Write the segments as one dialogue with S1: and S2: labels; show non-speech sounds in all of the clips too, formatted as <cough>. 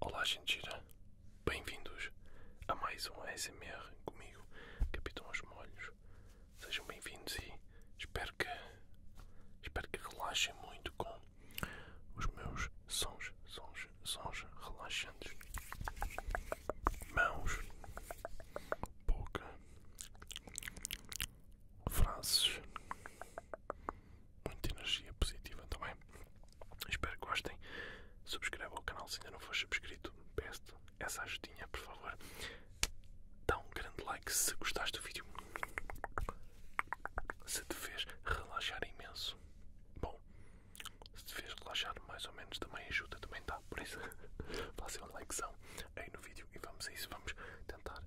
S1: Olá, gente gira. Bem-vindos a mais um ASMR comigo, Capitão Os Molhos. Sejam bem-vindos e espero que, espero que relaxem muito com os meus sons, sons, sons relaxantes. Mãos, boca, frases, muita energia positiva também. Espero que gostem. subscreva o canal se ainda não for subscrito. Peço essa ajudinha, por favor. Dá um grande like se gostaste do vídeo. Se te fez relaxar imenso. Bom, se te fez relaxar mais ou menos também ajuda, também dá. Tá? Por isso, <laughs> faça um likezão aí no vídeo e vamos a isso. Vamos tentar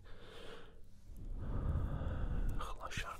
S1: relaxar.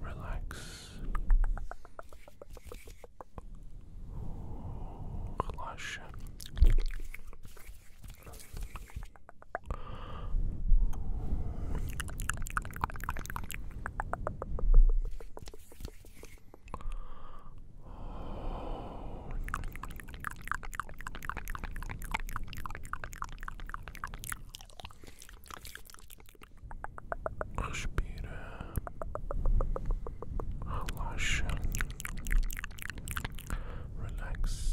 S1: relax, flush. Respira. Relaxa. Relax.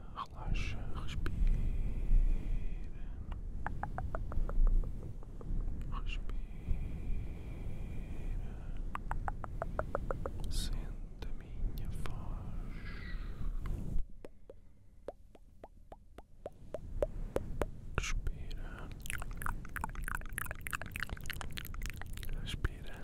S1: relaxa, respira, respira, sente a minha voz. Respira, respira,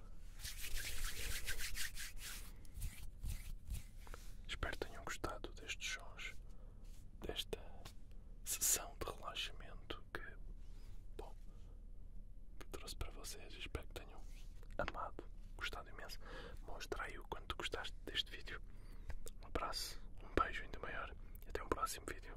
S1: Espero que tenham gostado destes sons, desta sessão de relaxamento que trouxe para vocês. Espero que tenham amado, gostado imenso. Mostra aí o quanto gostaste deste vídeo. Um abraço, um beijo ainda maior e até um próximo vídeo.